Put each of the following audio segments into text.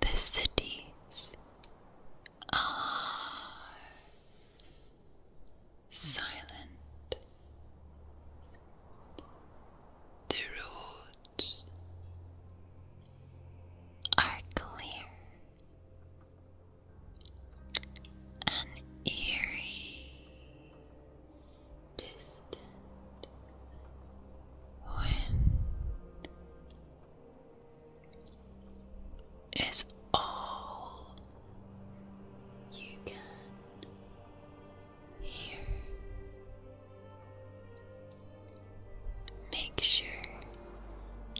The cities are silent. The roads are clear. An eerie distant wind is all you can hear. Make sure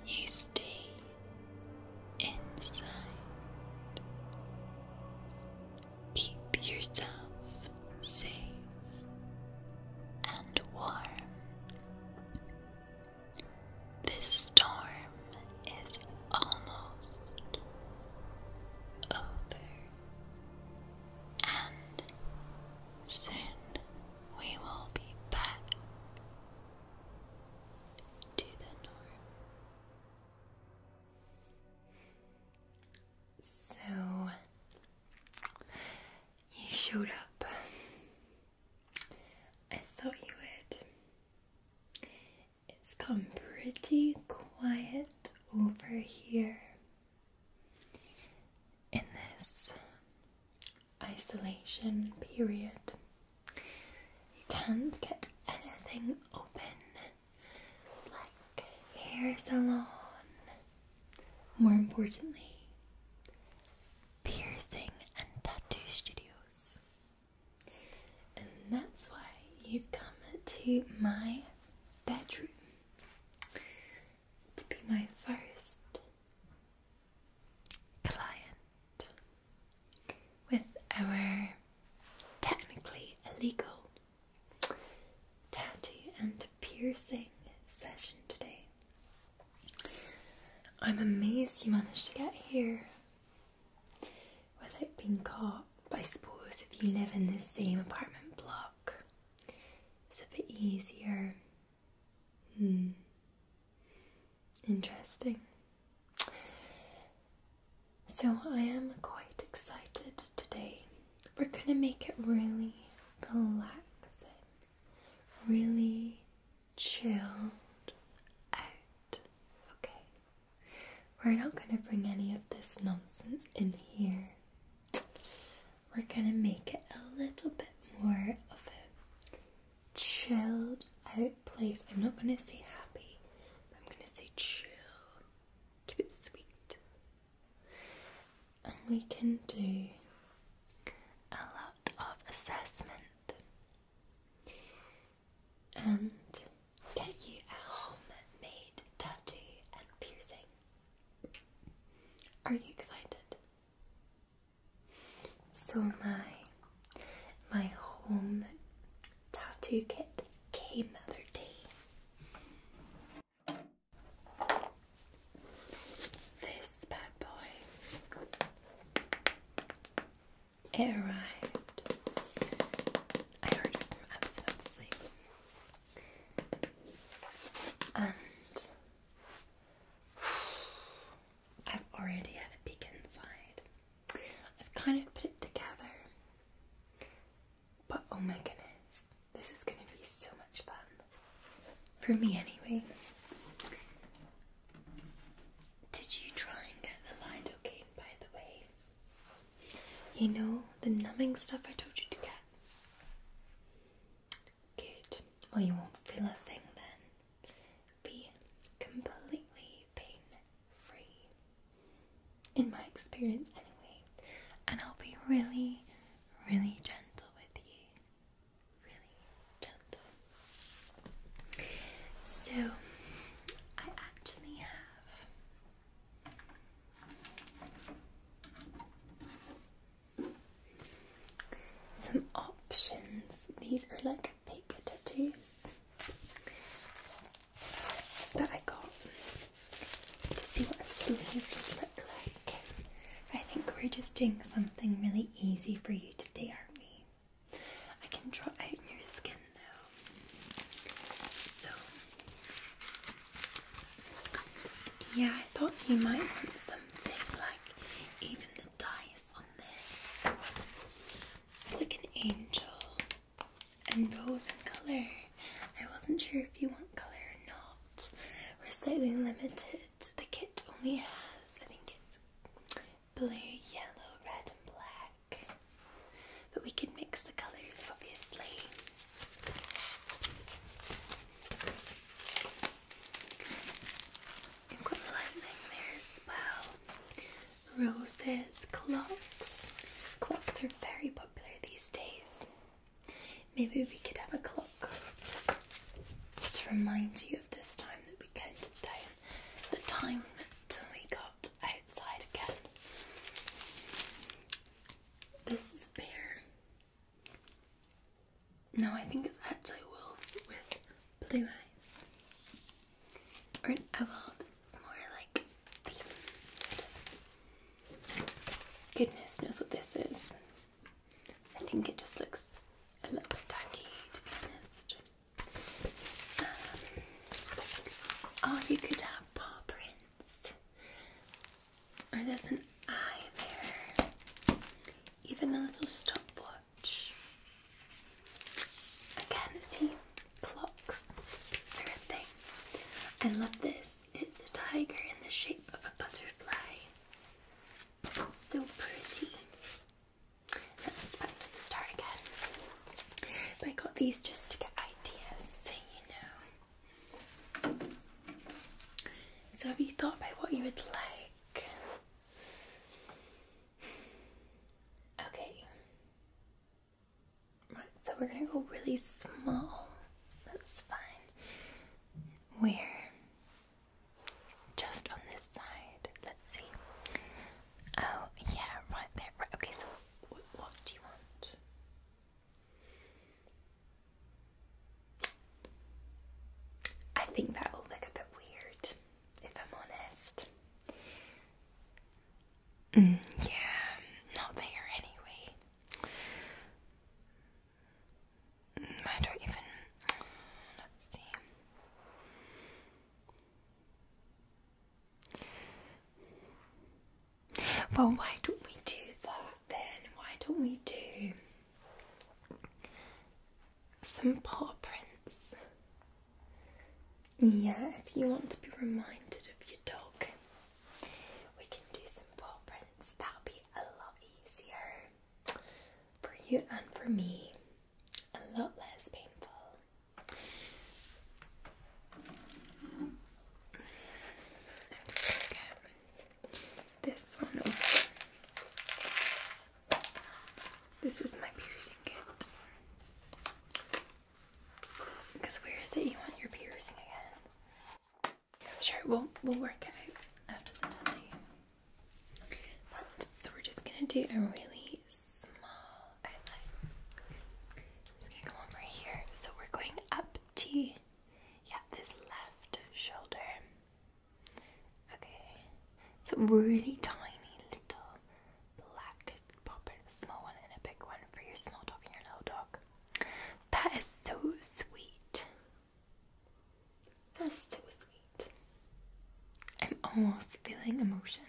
you stay inside Keep yourself safe and warm. This storm is almost over, and soon we will be back to the norm. So, you showed up. I thought you would. It's gone pretty quiet over here in this isolation period. You can't get anything open like hair salon. More importantly, piercing and tattoo studios. And that's why you've come to my bedroom to be my first client with our technically illegal tattoo and piercing session today. I'm amazed you managed to get here without being caught, but I suppose if you live in the same apartment block, it's a bit easier. Hmm. Interesting. So I am quite excited today we're going to make it really relaxing, really chilled out. Okay? We're not going to bring any of this nonsense in here. We're going to make it a little bit more of a chilled out place. I'm not going to say happy, I'm going to say chill. Keep it sweet and we can do a lot of assessment and get you a made, tattoo and piercing. Are you excited? So my my home tattoo kit came the other day this bad boy. arrived. I ordered it from Amazon, obviously. And I've already had a peek inside. I've kind of put it together. But oh my goodness, this is going to be so much fun. For me, anyway. Did you try and get the lidocaine, by the way? You know, the numbing stuff I told you to get? Good. Well, you won't feel a thing then. Be completely pain free in my experience anyway, and I'll be really, really gentle with you. Really gentle. So, I actually have some options. These are like fake tattoos that I got to see what a sleeve would look like. I think we're just doing something really easy for you today, aren't we? I can draw out your skin though. So, yeah, I thought you might want something like even the dice on this. like an angel and rose and color. I wasn't sure if you want color or not. We're slightly limited. The kit only has, I think it's blue, yellow, red, and black. But we could mix the colors, obviously. We've got lightning there as well. Roses, clocks. Clocks are very popular these days. Maybe we could have a clock to remind you of this time that we counted down the time until we got outside again. This is a bear. No, I think it's actually a wolf with blue eyes. Or an owl. This is more like the Goodness knows what this is. I think it just looks a little bit tacky, to be honest. Um, oh, you could have paw prints. Or there's an eye there. Even a little stopwatch. Again, see, clocks. are a thing. I love this it's a tiger in the shape of a butterfly. So pretty. Let's back to the star again. I got these just to get ideas, you know. So, have you thought about what you would like? Okay so we're gonna go really small. That's fine. Where? Just on this side. Let's see. Oh, yeah, right there. Right. Okay, so what do you want? I think that will look a bit weird, if I'm honest. Mm, yeah, not there anyway. Mm, I don't even. Mm, let's see. Well, why don't we do that then? Why don't we do some paw prints? Yeah, if you want to be reminded of your dog. We can do some paw prints. That'll be a lot easier for you and for me. A lot less painful. I'm just this one This is my piercing kit. Because where is it you want your piercing again? sure we'll, we'll work it out after the tattoo. But, so we're just going to do a really small I'm just going to come over here. So we're going up to, yeah, this left shoulder. Okay. So really tiny little black popper, a small one and a big one for your small dog and your little dog. That is so sweet. That's so sweet. I'm almost feeling emotion.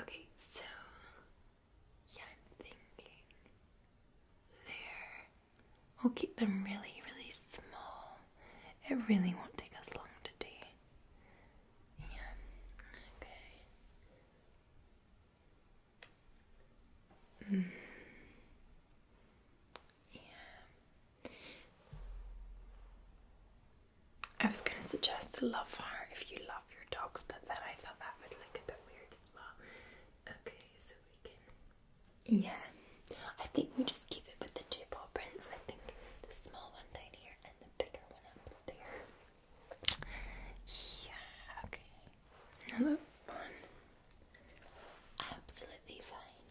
Okay, so yeah, I'm thinking there. We'll keep them really, really small. It really won't take us long to do. Yeah. Okay. Yeah. I was gonna suggest a love heart if you love your dogs, but then I thought that would look a bit weird as well. Okay, so we can. Yeah, I think we just keep it with the two paw prints. I think the small one down here and the bigger one up there. Yeah, okay. Another one. Absolutely fine.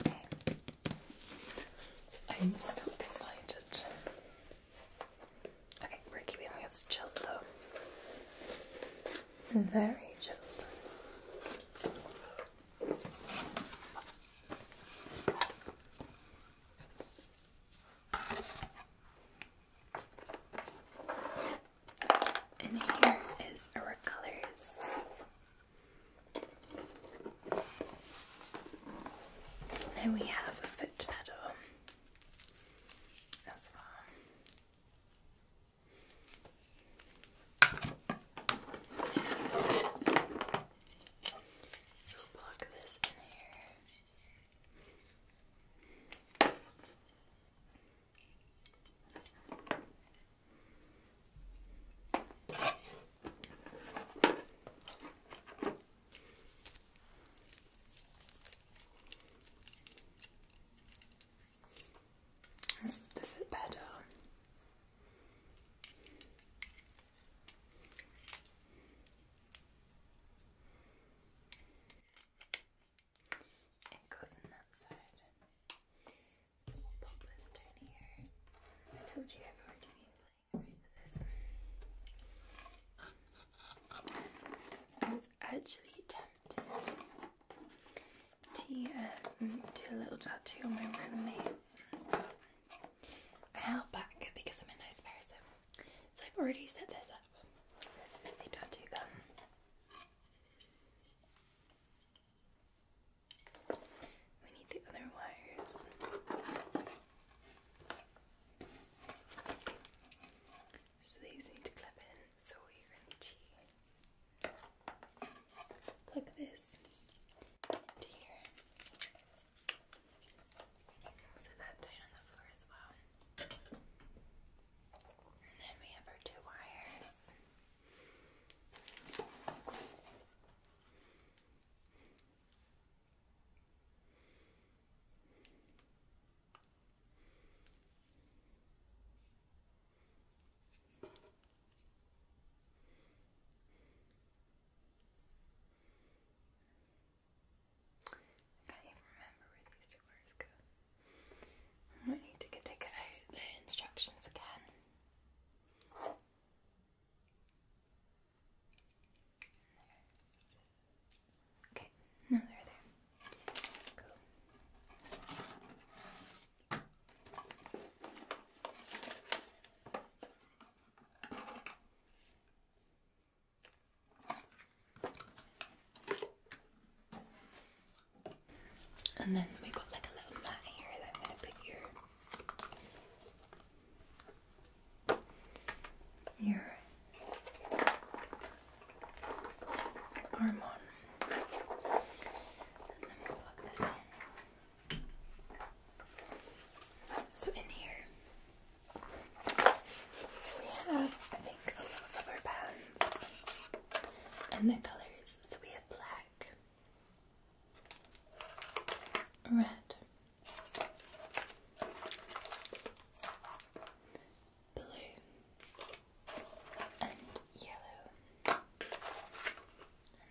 Okay. I'm so excited. Okay, we're keeping this chilled though. Very chill. And here is our colors. And we have a foot pedal as well. We'll this in here. This is the Fitbed. It goes in that side. So we'll here. I told you I've already been playing around with this. I was actually tempted do a little tattoo on my man mate. I held back because I'm a nice person. So I've already set this up. This is the tattoo gun. We need the other wires. So these need to clip in, so we're going to plug this into here. So that's on the floor as well. And then we have our two wires. I can't even remember where these two words go. I might need to take out the instructions again. okay, no, they're there. Cool. And then we got like a little mat here that I'm gonna put your your arm on. And then we plug this in. So in here we have I think a lot of our bands and the colors. we have black, red, blue, and yellow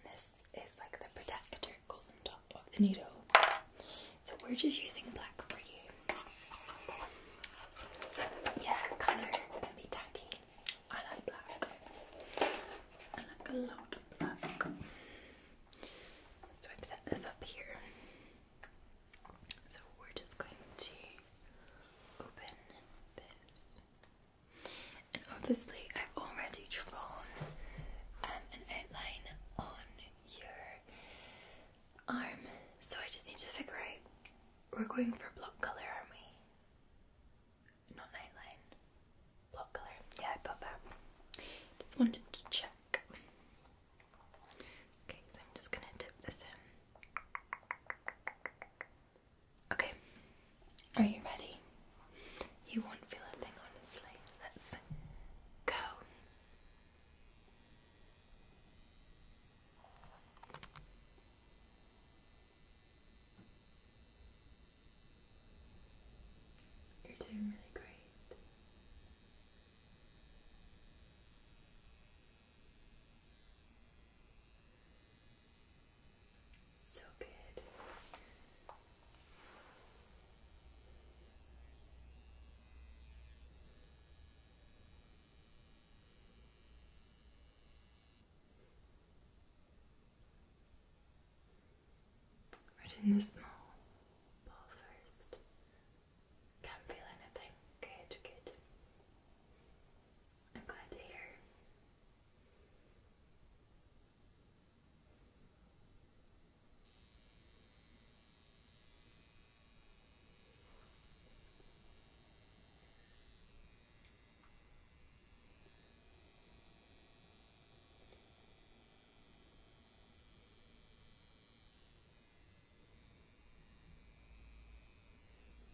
this is like the protector goes on top of the needle. So we're just using black for you. Yeah, colour can be tacky. I like black. I like a lot of black. So I've set this up here. So we're just going to open this and obviously, I've already drawn um, an outline on your arm, so I just need to figure out. We're going for block colour, aren't we? Not an outline. Block colour. Yeah, I got that. Just wanted to check. Okay, so I'm just gonna dip this in. Okay, are you ready? You won't feel a thing, honestly. Let's go. You're doing really great. So good. Right in the small ball first. Can't feel anything. Good, good. I'm glad to hear.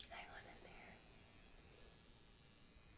Hang on in there.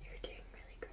You're doing really great.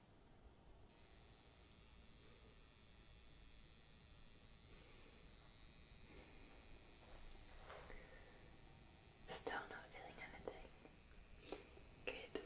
Still not feeling anything. Good.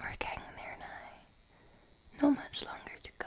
We're getting there now. Not much longer to go.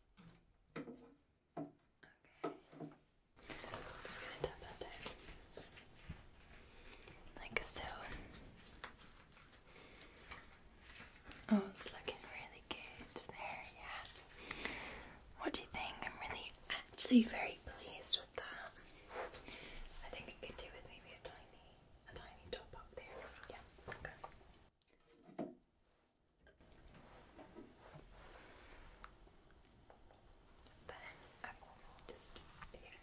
Okay. Just gonna tap that down. Like so. Oh, it's looking really good there, yeah. What do you think? I'm really actually very pleased with that. I think it could do with maybe a tiny a tiny top up there. Yeah, okay. Then I will just here. Okay.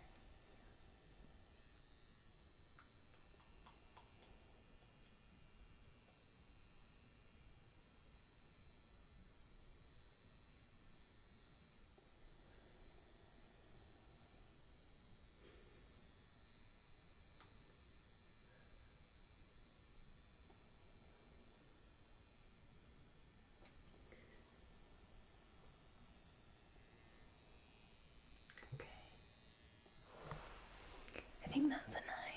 Okay. I think that's an eye.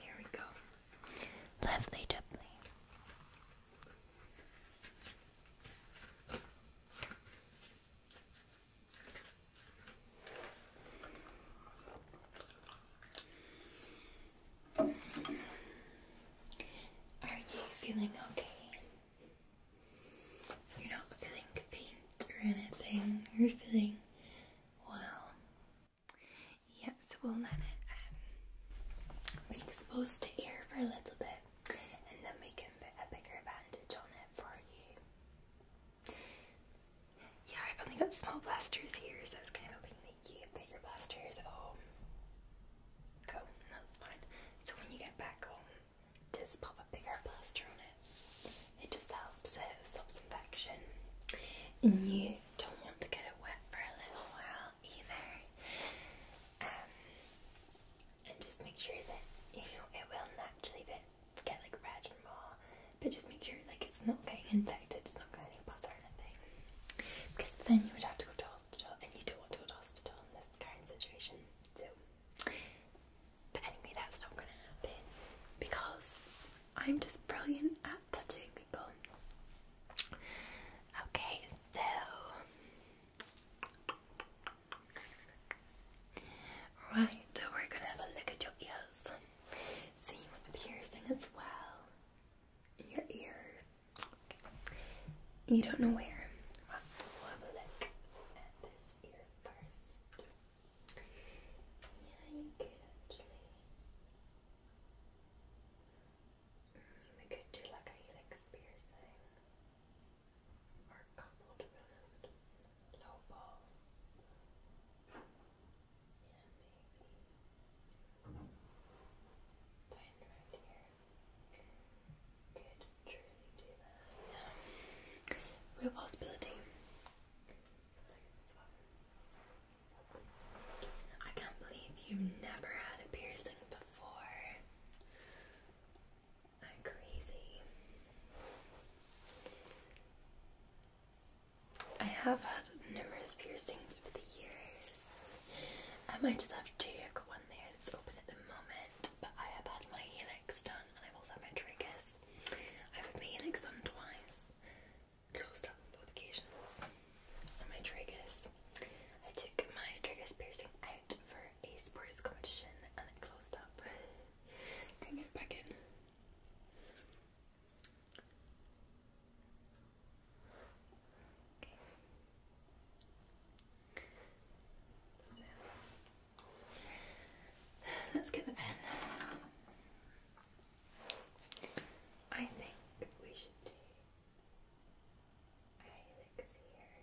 There we go. Lovely doubly. Are you feeling okay? You're not feeling faint or anything. You're feeling well. Yeah, so we'll let it be um, exposed to air for a little bit and then we can put a bigger bandage on it for you. Yeah, I've only got small blasters here, so I was kind of hoping that you had bigger blasters at oh, home. Cool, that's fine. So when you get back home, just pop a bigger plaster on it. It just helps it stops infection. And you don't want to get it wet for a little while either. Um, and just make sure that you know it will naturally get like red and raw, but just make sure like it's not getting infected, it's not got any bugs or anything. Because then you would have to go to hospital, and you don't want to go to hospital in this kind of situation. So, but anyway, that's not going to happen because I'm just brilliant at touching people. Okay, so right, we're gonna have a look at your ears. See with the piercing as well. Your ear. You don't know where. Yeah, you could actually. we could do like a helix piercing. Or couple, to be honest. Low Yeah, maybe. Tighten right here. Could truly do that. Real possibility. I can't believe you've never had a piercing before. i crazy. I have had numerous piercings over the years. I might just have two. I've got one there that's open at the moment, but I have had my helix done and I've also had my triggers. I've had my helix done twice closed up on both occasions. my tragus, I took my tragus piercing out for a sports competition and it closed up. Can get it back in. Okay. So let's get the pen. I think we should do eyelids here,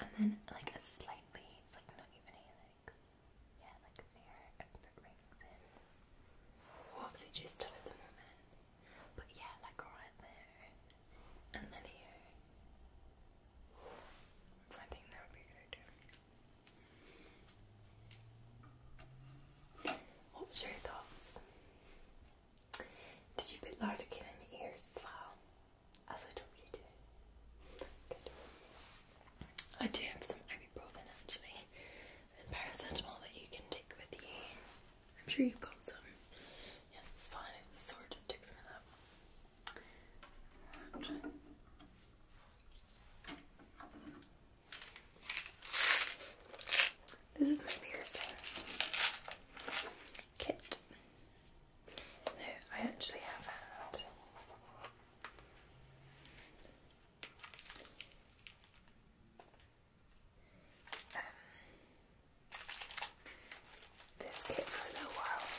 and then like a slightly, it's like not even a yeah, like there, and put rings in. What have they just done at the moment? But yeah, like right there, and then here. I think that would be a good idea. What was your thoughts? Did you put lidocaine in your ears as well? As I told you to. I do have some ibuprofen actually and paracetamol that you can take with you. I'm sure you've got some. Yeah, it's fine if the sore just takes some that. This is my piercing kit. No, I actually have had. Um, this kit for a little while.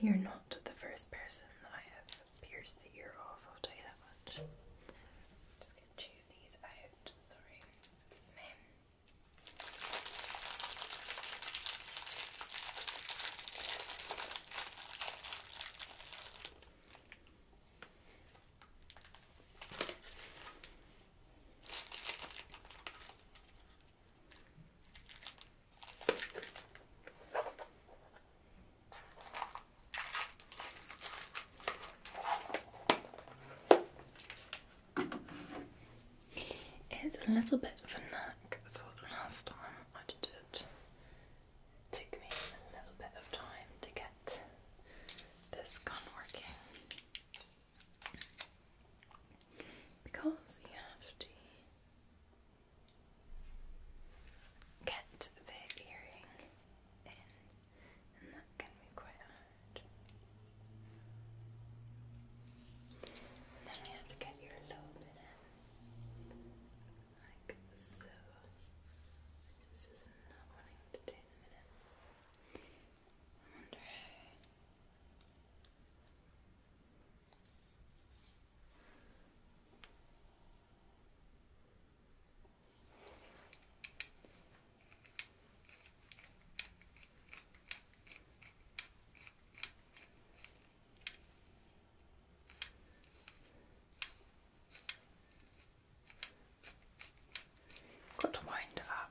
You're not the first person I have pierced the ear off, I'll tell you that much. just gonna chew these out, sorry, excuse it's a little bit of a knack, last time I did took me a little bit of time to get this gun working because you have to get the earring in, and that can be quite hard. then you have to get your lobe in like so. It's just not wanting to do in a I wonder Good wind up.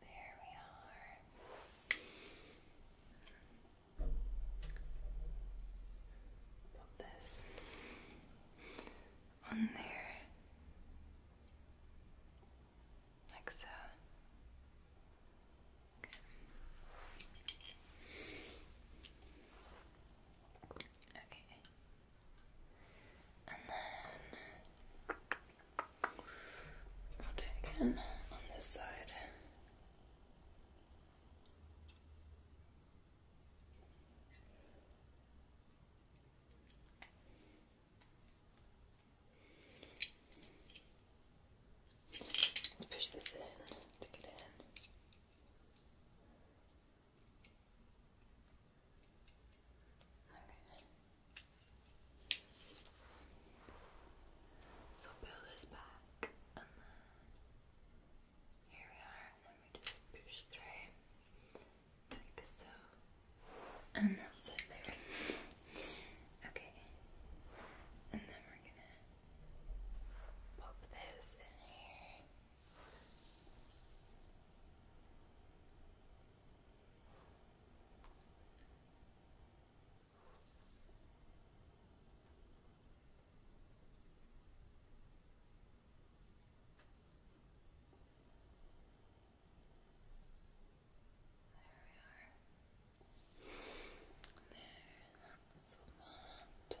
There we are. Put this on there, like so. Okay. And then again on this side. Let's push this in to get in. Okay. So pull this back here we are and then we just push through like so and that's it there. Okay. And then we're gonna pop this in here. There, that's a lot. There.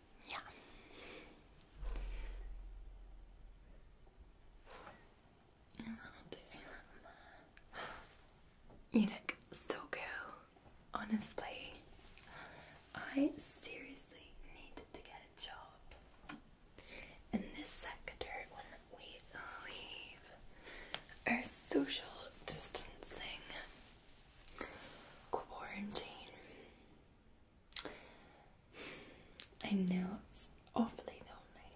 Yeah. so cool. Honestly, I seriously need to get a job in this sector when we leave our social distancing Quarantine. I know it's awfully lonely.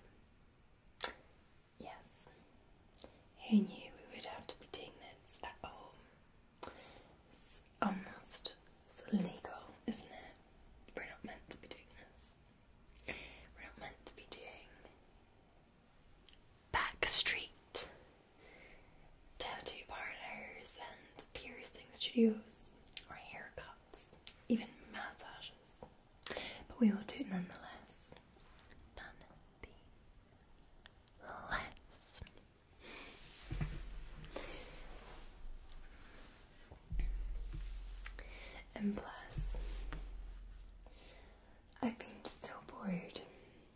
Yes. Who knew we would have to be doing this at home? It's almost illegal, isn't it? We're not meant to be doing this. We're not meant to be doing Backstreet tattoo parlors and piercing studios or haircuts, even massages. But we will do it nonetheless. Nonetheless. And plus, I've been so bored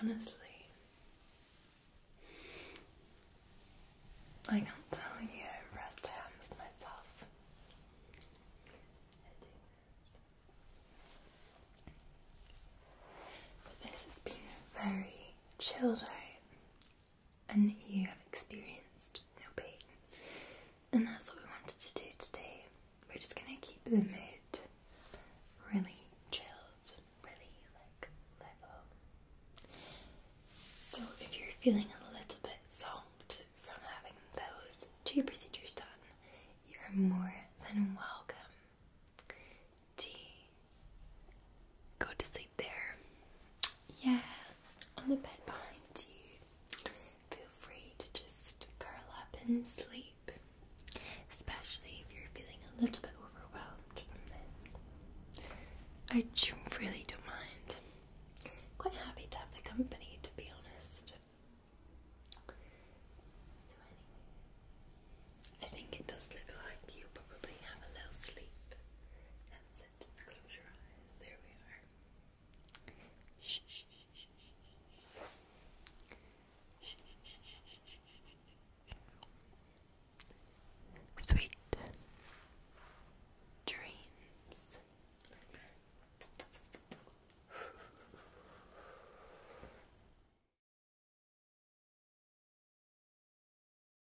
Honestly, I can't tell you rest hands myself. this has been very chilled out and you have experienced no pain. And that's what we wanted to do today. We're just gonna keep the mood really chilled, really like level. So if you're feeling a little bit zonked from having those two procedures done, you are more than welcome to Go to sleep there. Yeah, on the bed behind you. Feel free to just curl up and sleep, especially if you're feeling a little bit overwhelmed from this. I really don't mind. Quite happy to have the company, to be honest. So anyway, I think it does look like you probably have a little sleep close your eyes. There we are. Shh, shh, shh, shh, shh. Shh, shh, shh, shh, shh. Sweet dreams.